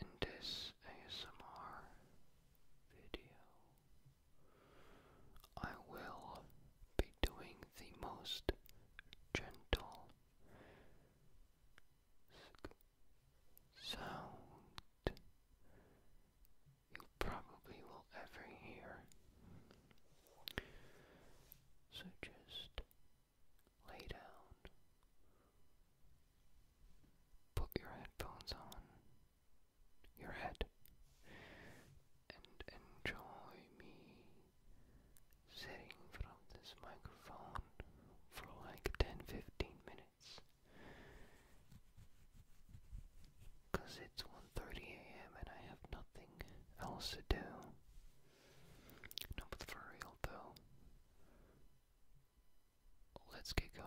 In this ASMR video, I will be doing the most gentle sound you probably will ever hear. So just lay down, put your headphones on your head, and enjoy me sitting from this microphone for like 10 15 minutes. Cause it's 1:30 a.m. and I have nothing else to do. No, but for real though, let's get going.